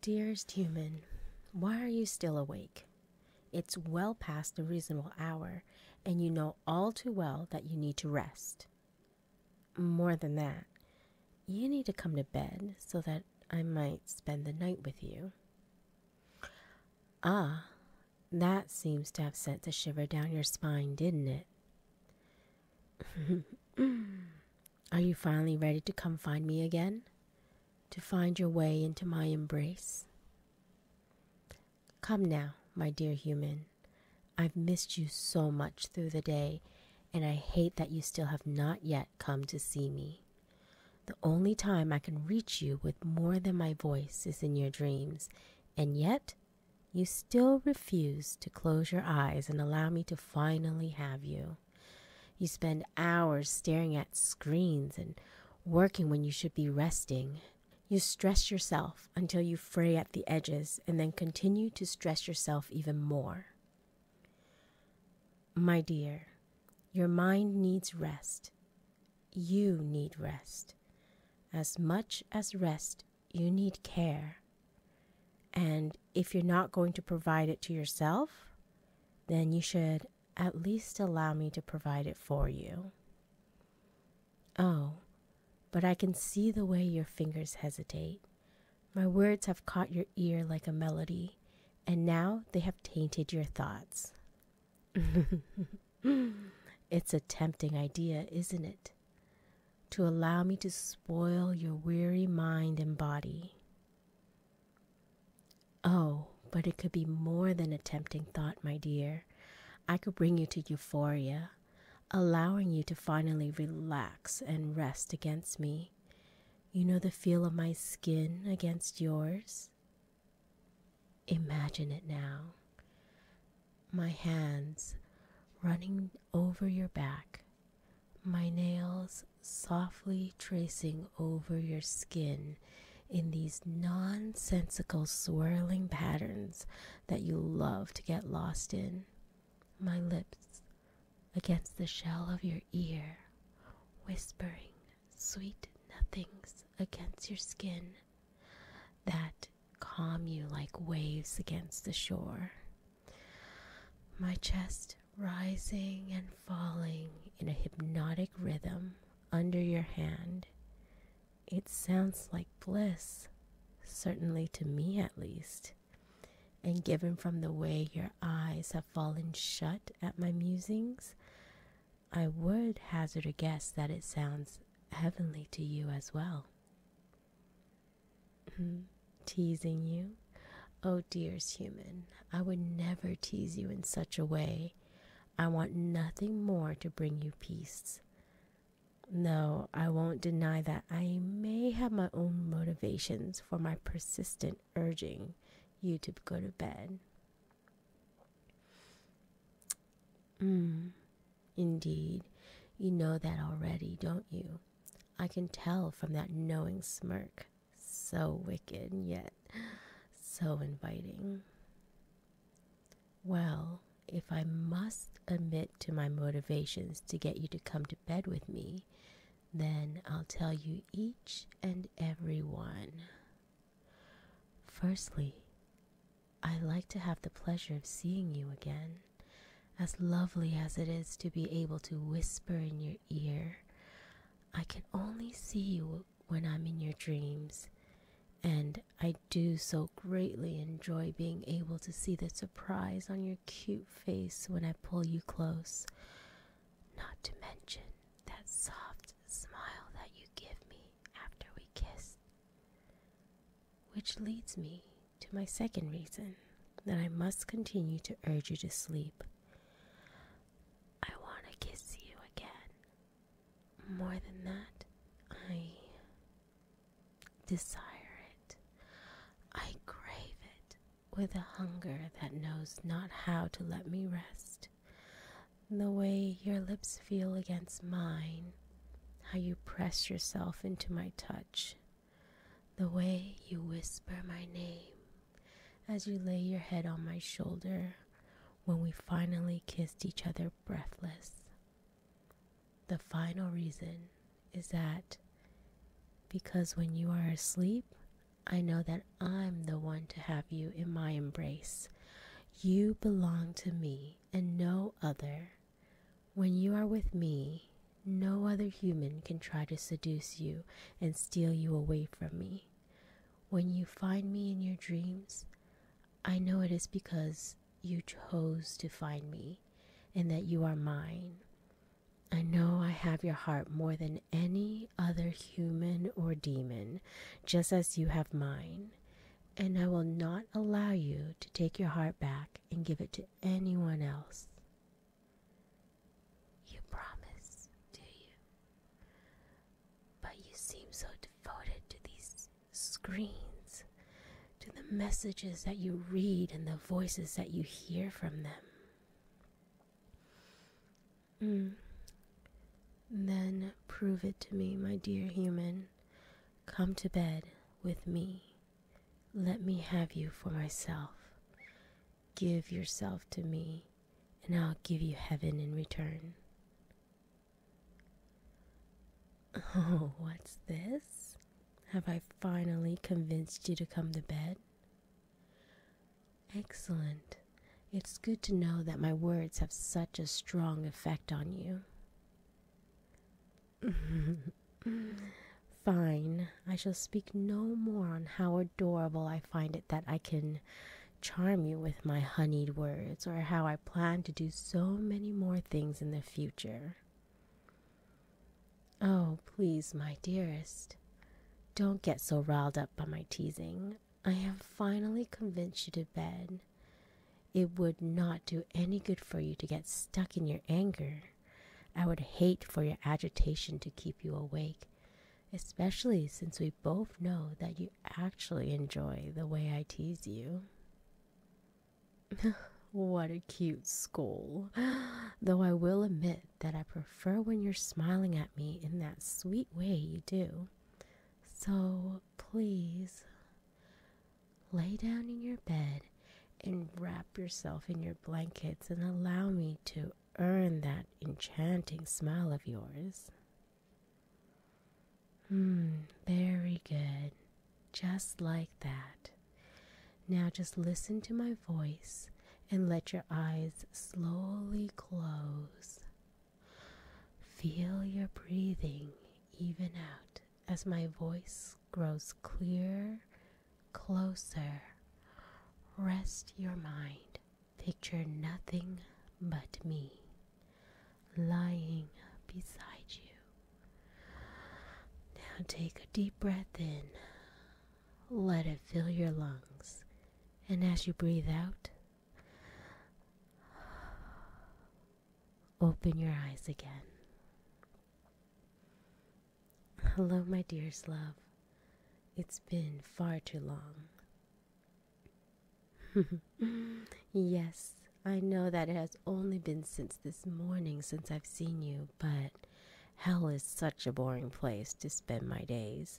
Dearest human, why are you still awake? It's well past the reasonable hour, and you know all too well that you need to rest. More than that, you need to come to bed so that I might spend the night with you. Ah, that seems to have sent a shiver down your spine, didn't it? Are you finally ready to come find me again? To find your way into my embrace? Come now, my dear human. I've missed you so much through the day, and I hate that you still have not yet come to see me. The only time I can reach you with more than my voice is in your dreams, and yet you still refuse to close your eyes and allow me to finally have you you. spend hours staring at screens and working when you should be resting. You stress yourself until you fray at the edges and then continue to stress yourself even more. My dear, your mind needs rest. You need rest. As much as rest, you need care. And if you're not going to provide it to yourself, then you should at least allow me to provide it for you. Oh, but I can see the way your fingers hesitate. My words have caught your ear like a melody, and now they have tainted your thoughts. it's a tempting idea, isn't it? To allow me to spoil your weary mind and body. Oh, but it could be more than a tempting thought, my dear. I could bring you to euphoria, allowing you to finally relax and rest against me. You know the feel of my skin against yours? Imagine it now. My hands running over your back, my nails softly tracing over your skin in these nonsensical swirling patterns that you love to get lost in. My lips against the shell of your ear, whispering sweet nothings against your skin that calm you like waves against the shore my chest rising and falling in a hypnotic rhythm under your hand. It sounds like bliss, certainly to me at least, and given from the way your eyes have fallen shut at my musings, I would hazard a guess that it sounds heavenly to you as well. Mm-hmm. Teasing you? Oh, dearest human, I would never tease you in such a way. I want nothing more to bring you peace. No, I won't deny that I may have my own motivations for my persistent urging you to go to bed. Mm, indeed, you know that already, don't you? I can tell from that knowing smirk so wicked, yet so inviting. Well, if I must admit to my motivations to get you to come to bed with me, then I'll tell you each and every one. Firstly, I like to have the pleasure of seeing you again, as lovely as it is to be able to whisper in your ear I can only see you when I'm in your dreams, and I do so greatly enjoy being able to see the surprise on your cute face when I pull you close. Not to mention that soft smile that you give me after we kiss. Which leads me to my second reason that I must continue to urge you to sleep. I want to kiss you again. More than that, I desire it. I crave it with a hunger that knows not how to let me rest. The way your lips feel against mine, how you press yourself into my touch, the way you whisper my name as you lay your head on my shoulder when we finally kissed each other breathless. The final reason is that because when you are asleep, I know that I'm the one to have you in my embrace. You belong to me and no other. When you are with me, no other human can try to seduce you and steal you away from me. When you find me in your dreams, I know it is because you chose to find me and that you are mine. I know I have your heart more than any other human or demon, just as you have mine. And I will not allow you to take your heart back and give it to anyone else. You promise, do you? But you seem so devoted to these screens, to the messages that you read and the voices that you hear from them. Mm. Then prove it to me, my dear human. Come to bed with me. Let me have you for myself. Give yourself to me, and I'll give you heaven in return. Oh, what's this? Have I finally convinced you to come to bed? Excellent. It's good to know that my words have such a strong effect on you. Fine, I shall speak no more on Howard adorable I find it that I can charm you with my honeyed words, or how I plan to do so many more things in the future. Oh, please, my dearest, don't get so riled up by my teasing. I have finally convinced you to bed. It would not do any good for you to get stuck in your anger. I would hate for your agitation to keep you awake, especially since we both know that you actually enjoy the way I tease you. what a cute scowl. Though I will admit that I prefer when you're smiling at me in that sweet way you do. So please lay down in your bed and wrap yourself in your blankets and allow me to earn that enchanting smile of yours. Hmm, very good. Just like that. Now just listen to my voice and let your eyes slowly close. Feel your breathing even out as my voice grows clearer, closer. Rest your mind Picture nothing but me lying beside you. Now take a deep breath in. Let it fill your lungs. And as you breathe out, open your eyes again. Hello, my dearest love. It's been far too long. yes, I know that it has only been since this morning since I've seen you, but hell is such a boring place to spend my days.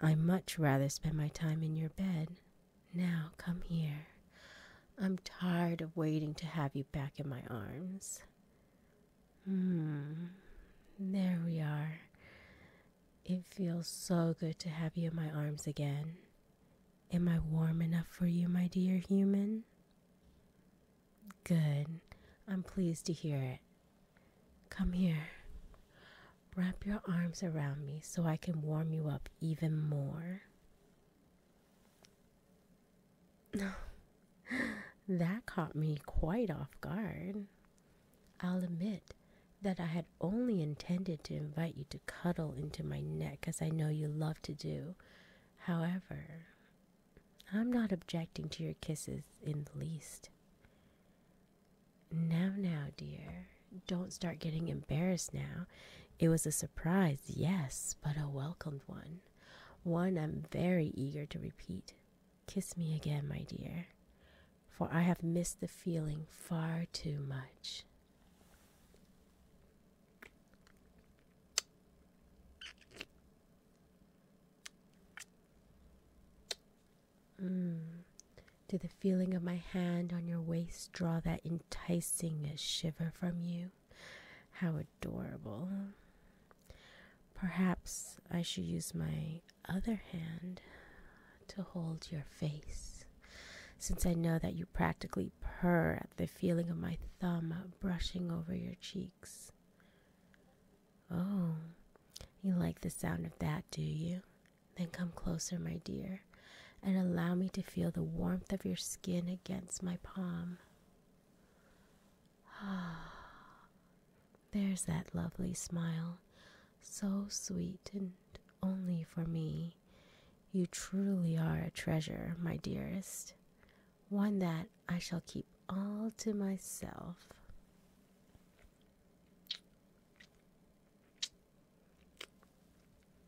I much rather spend my time in your bed. Now come here. I'm tired of waiting to have you back in my arms. Hmm, there we are. It feels so good to have you in my arms again. Am I warm enough for you, my dear human? Good. I'm pleased to hear it. Come here. Wrap your arms around me so I can warm you up even more. that caught me quite off guard. I'll admit that I had only intended to invite you to cuddle into my neck, as I know you love to do. However, I'm not objecting to your kisses in the least. Now, now, dear, don't start getting embarrassed now. It was a surprise, yes, but a welcomed one. One I'm very eager to repeat. Kiss me again, my dear, for I have missed the feeling far too much. Mm. Did the feeling of my hand on your waist draw that enticing shiver from you? How adorable. Perhaps I should use my other hand to hold your face, since I know that you practically purr at the feeling of my thumb brushing over your cheeks. Oh, you like the sound of that, do you? Then come closer, my dear, and allow me to feel the warmth of your skin against my palm. Ah, there's that lovely smile, so sweet and only for me. You truly are a treasure, my dearest, one that I shall keep all to myself.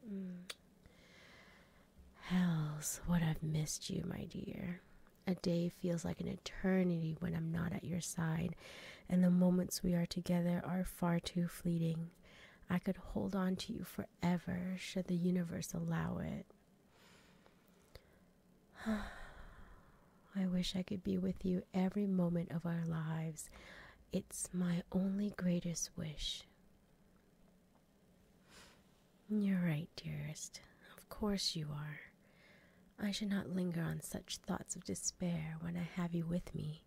Hmm. Hells, what I've missed you, my dear. A day feels like an eternity when I'm not at your side, and the moments we are together are far too fleeting. I could hold on to you forever should the universe allow it. I wish I could be with you every moment of our lives. It's my only greatest wish. You're right, dearest. Of course you are. I should not linger on such thoughts of despair when I have you with me.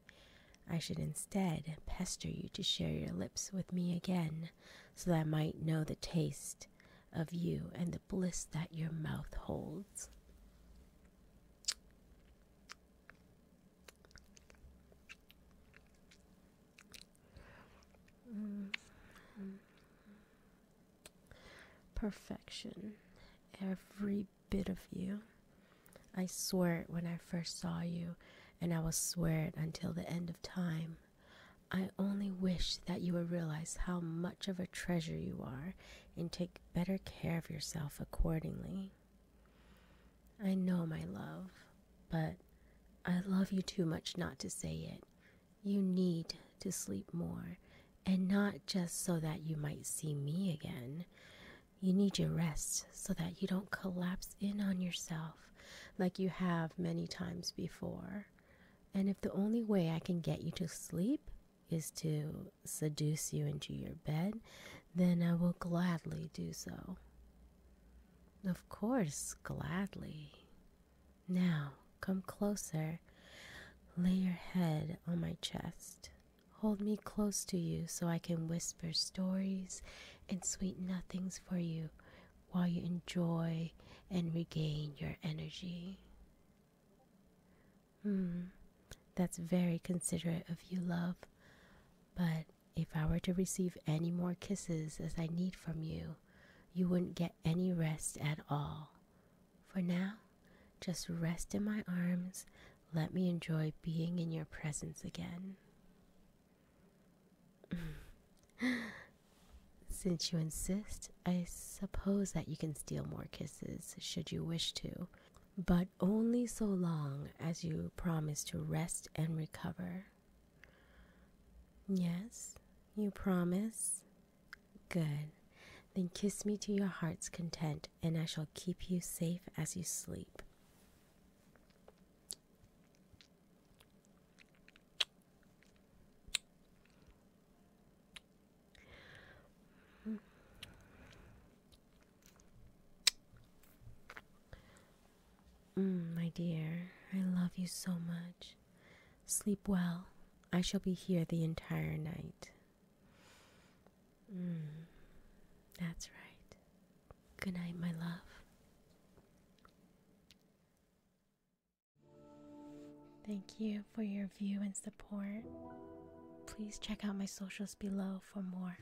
I should instead pester you to share your lips with me again, so that I might know the taste of you and the bliss that your mouth holds. Mm-hmm. Perfection. Every bit of you. I swear it when I first saw you, and I will swear it until the end of time. I only wish that you would realize how much of a treasure you are and take better care of yourself accordingly. I know, my love, but I love you too much not to say it. You need to sleep more and not just so that you might see me again. You need your rest so that you don't collapse in on yourself like you have many times before. And if the only way I can get you to sleep is to seduce you into your bed, then I will gladly do so. Of course, gladly. Now, come closer. Lay your head on my chest Hold me close to you so I can whisper stories and sweet nothings for you while you enjoy and regain your energy. Hmm, that's very considerate of you, love. But if I were to receive any more kisses as I need from you, you wouldn't get any rest at all. For now, just rest in my arms. Let me enjoy being in your presence again. Since you insist, I suppose that you can steal more kisses should you wish to, but only so long as you promise to rest and recover. Yes, you promise? Good. Then kiss me to your heart's content, and I shall keep you safe as you sleep. Mm, my dear, I love you so much. Sleep well. I shall be here the entire night. Mm, that's right. Good night, my love. Thank you for your view and support. Please check out my socials below for more.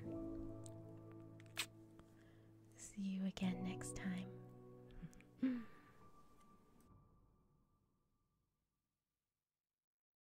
See you again next time.